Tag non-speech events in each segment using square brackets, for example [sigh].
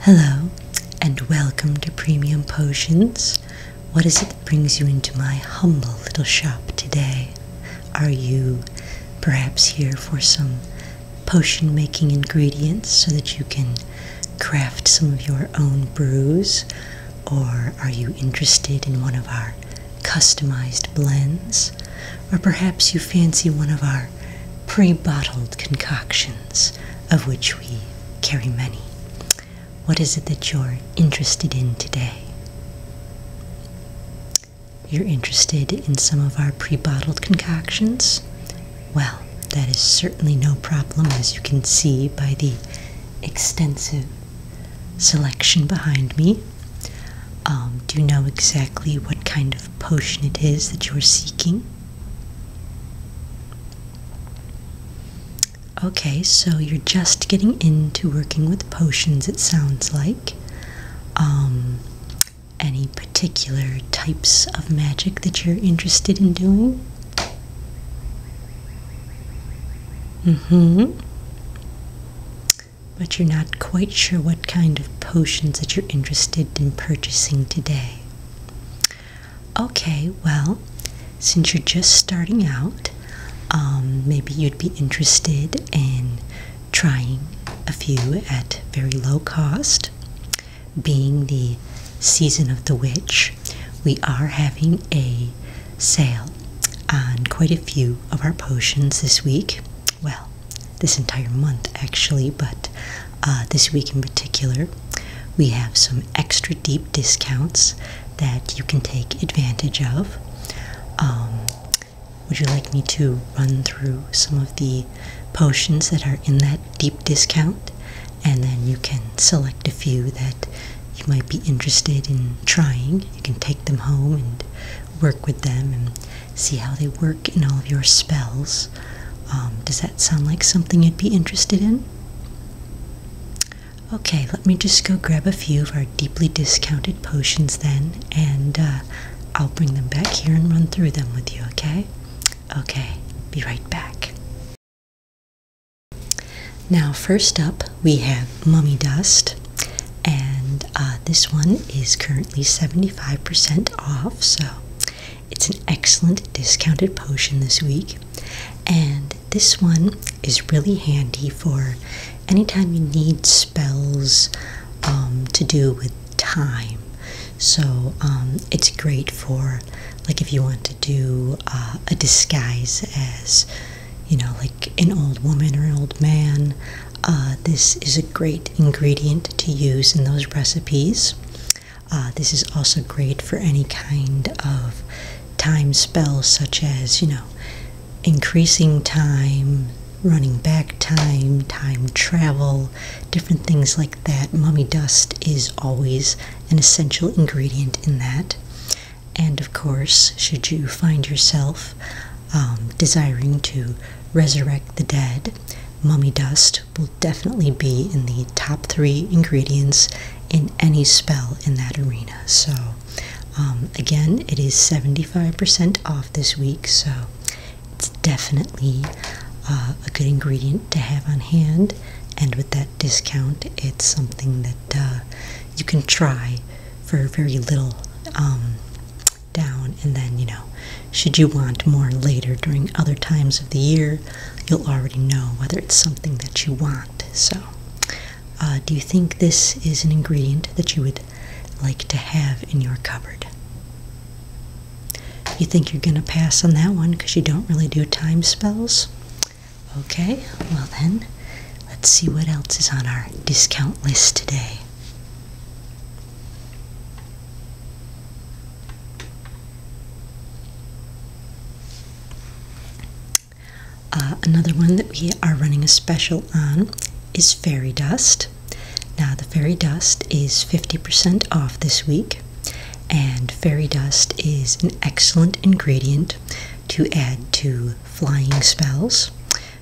Hello, and welcome to Premium Potions. What is it that brings you into my humble little shop today? Are you perhaps here for some potion making ingredients so that you can craft some of your own brews? Or are you interested in one of our customized blends? Or perhaps you fancy one of our pre bottled concoctions, of which we carry many. What is it that you're interested in today? You're interested in some of our pre bottled concoctions? Well, that is certainly no problem, as you can see by the extensive selection behind me. Um, do you know exactly what kind of potion it is that you're seeking? Okay, so you're just getting into working with potions, it sounds like. Um, any particular types of magic that you're interested in doing? Mm hmm. But you're not quite sure what kind of potions that you're interested in purchasing today. Okay, well, since you're just starting out, um, maybe you'd be interested in trying a few at very low cost. Being the season of the witch, we are having a sale on quite a few of our potions this week. Well, this entire month actually, but uh, this week in particular, we have some extra deep discounts that you can take advantage of. Um, would you like me to run through some of the potions that are in that deep discount? And then you can select a few that you might be interested in trying. You can take them home and work with them and see how they work in all of your spells. Um, does that sound like something you'd be interested in? Okay, let me just go grab a few of our deeply discounted potions then, and uh, I'll bring them back here and run through them with you, okay? Okay, be right back. Now, first up, we have Mummy Dust, and uh, this one is currently 75% off, so it's an excellent discounted potion this week. And this one is really handy for anytime you need spells um, to do with time. So um, it's great for, like, if you want to do uh, a disguise as, you know, like an old woman or an old man, uh, this is a great ingredient to use in those recipes. Uh, this is also great for any kind of time spells, such as, you know, increasing time, running back time, time travel, different things like that. Mummy dust is always an essential ingredient in that. And of course, should you find yourself um, desiring to resurrect the dead, mummy dust will definitely be in the top three ingredients in any spell in that arena. So, um, again, it is 75% off this week, so it's definitely uh, a good ingredient to have on hand. And with that discount, it's something that uh, you can try for very little um, down and then you know should you want more later during other times of the year you'll already know whether it's something that you want so uh, do you think this is an ingredient that you would like to have in your cupboard you think you're going to pass on that one because you don't really do time spells okay well then let's see what else is on our discount list today uh, another one that we are running a special on is fairy dust. Now, the fairy dust is 50% off this week, and fairy dust is an excellent ingredient to add to flying spells.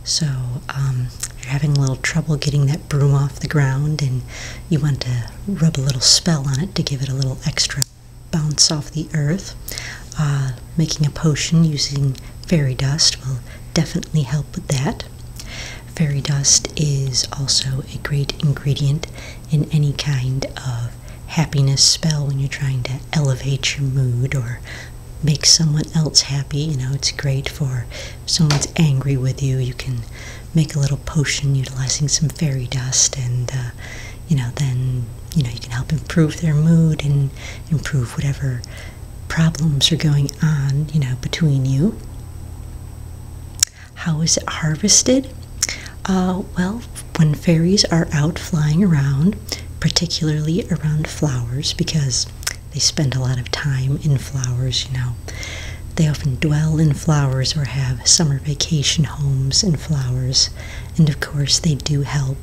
So um, you're having a little trouble getting that broom off the ground, and you want to rub a little spell on it to give it a little extra bounce off the earth. Uh, making a potion using fairy dust will definitely help with that. Fairy dust is also a great ingredient in any kind of happiness spell when you're trying to elevate your mood or make someone else happy. You know, it's great for someone's angry with you, you can make a little potion utilizing some fairy dust, and uh, you know, then you know, you can help improve their mood and improve whatever problems are going on, you know, between you. How is it harvested? Uh, well, when fairies are out flying around, particularly around flowers, because they spend a lot of time in flowers, you know. They often dwell in flowers or have summer vacation homes in flowers. And of course, they do help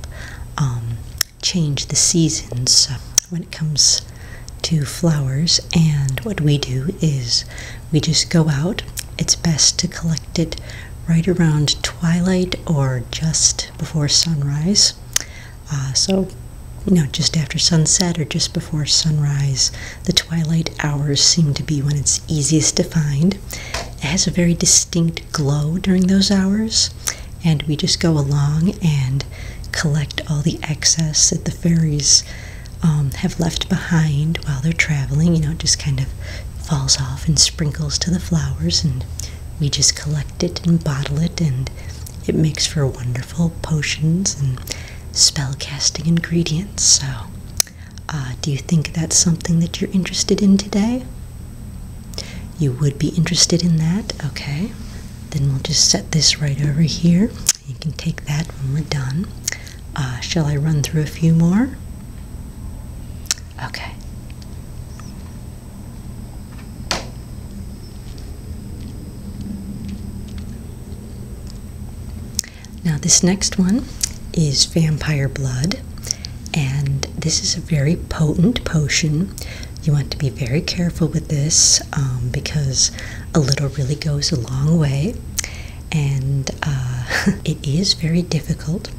um, change the seasons uh, when it comes to flowers. And what we do is we just go out. It's best to collect it right around twilight or just before sunrise. Uh, so, you know, just after sunset or just before sunrise, the twilight hours seem to be when it's easiest to find. It has a very distinct glow during those hours, and we just go along and collect all the excess that the fairies um, have left behind while they're traveling. You know, it just kind of falls off and sprinkles to the flowers, and we just collect it and bottle it and it makes for wonderful potions and spell casting ingredients. So, uh, do you think that's something that you're interested in today? You would be interested in that? Okay. Then we'll just set this right over here. You can take that when we're done. Uh, shall I run through a few more? Okay. Now, this next one is vampire blood, and this is a very potent potion. You want to be very careful with this um, because a little really goes a long way, and uh, [laughs] it is very difficult.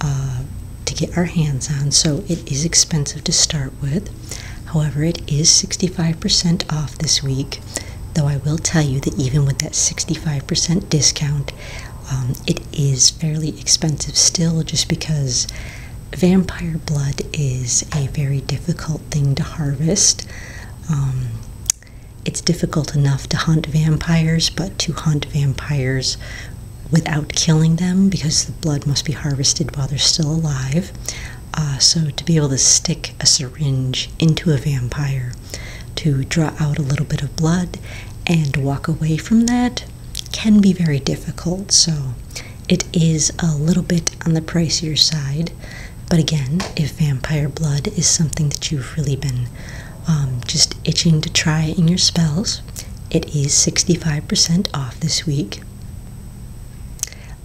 Uh, to get our hands on, so it is expensive to start with. However, it is 65% off this week, though I will tell you that even with that 65% discount, um, it is fairly expensive still just because vampire blood is a very difficult thing to harvest. Um, it's difficult enough to hunt vampires, but to hunt vampires without killing them because the blood must be harvested while they're still alive. Uh, so, to be able to stick a syringe into a vampire to draw out a little bit of blood and walk away from that can be very difficult. So, it is a little bit on the pricier side. But again, if vampire blood is something that you've really been um, just itching to try in your spells, it is 65% off this week.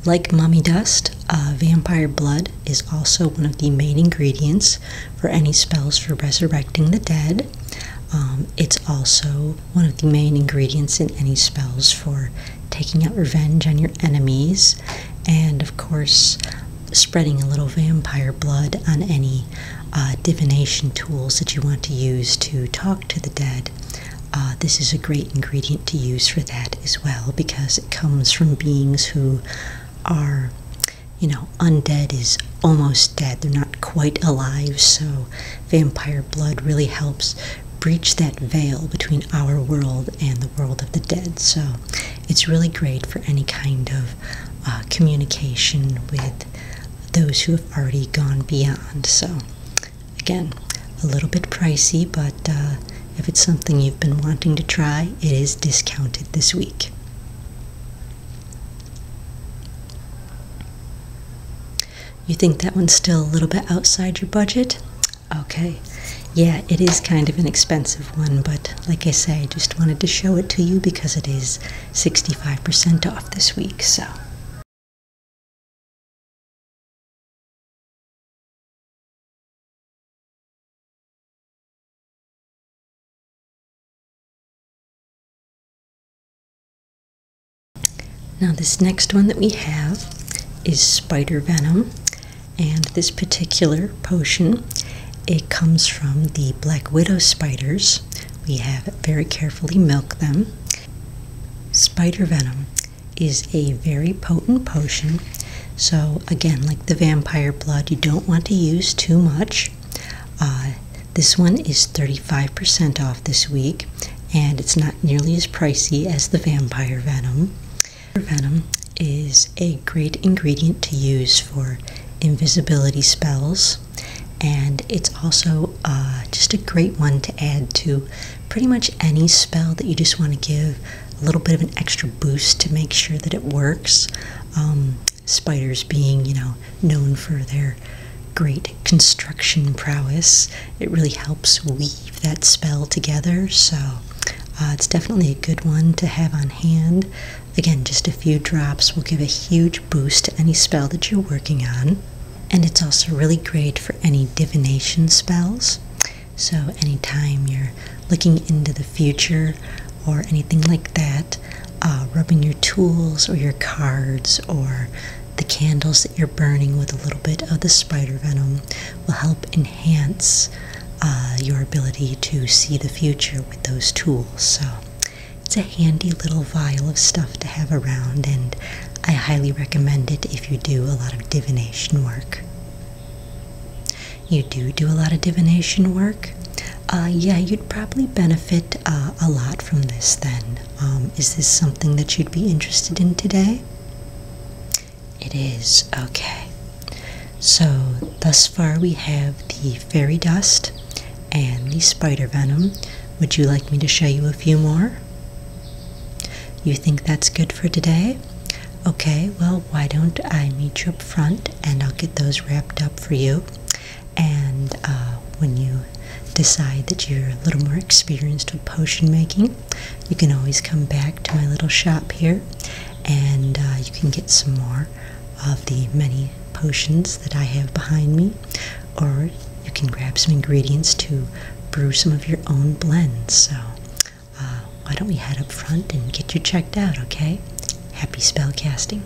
Like Mummy Dust, uh, Vampire Blood is also one of the main ingredients for any spells for resurrecting the dead. Um, it's also one of the main ingredients in any spells for taking out revenge on your enemies, and of course, spreading a little vampire blood on any uh, divination tools that you want to use to talk to the dead, uh, this is a great ingredient to use for that as well because it comes from beings who are, you know, undead is almost dead. They're not quite alive, so vampire blood really helps breach that veil between our world and the world of the dead. So it's really great for any kind of uh, communication with those who have already gone beyond. So, again, a little bit pricey, but uh, if it's something you've been wanting to try, it is discounted this week. You think that one's still a little bit outside your budget? Okay, yeah, it is kind of an expensive one, but like I say, I just wanted to show it to you because it is 65% off this week. So. Now this next one that we have is spider venom and this particular potion it comes from the black widow spiders. We have very carefully milked them. Spider venom is a very potent potion. So, again, like the vampire blood, you don't want to use too much. Uh, this one is 35% off this week, and it's not nearly as pricey as the vampire venom. Venom is a great ingredient to use for invisibility spells and it's also uh, just a great one to add to pretty much any spell that you just want to give a little bit of an extra boost to make sure that it works. Um, spiders being, you know, known for their great construction prowess, it really helps weave that spell together. So uh, it's definitely a good one to have on hand. Again, just a few drops will give a huge boost to any spell that you're working on. And it's also really great for any divination spells. So, anytime you're looking into the future or anything like that, uh, rubbing your tools or your cards or the candles that you're burning with a little bit of the spider venom will help enhance uh, your ability to see the future with those tools. So, it's a handy little vial of stuff to have around, and I highly recommend it if you do a lot of divination work. You do do a lot of divination work? Uh, yeah, you'd probably benefit uh, a lot from this then. Um, is this something that you'd be interested in today? It is. Okay. So, thus far we have the fairy dust and the spider venom. Would you like me to show you a few more? You think that's good for today? Okay, well, why don't I meet you up front and I'll get those wrapped up for you. And uh, when you decide that you're a little more experienced with potion making, you can always come back to my little shop here and uh, you can get some more of the many potions that I have behind me, or you can grab some ingredients to brew some of your own blends. So, uh, why don't we head up front and get you checked out, okay? Happy spell casting.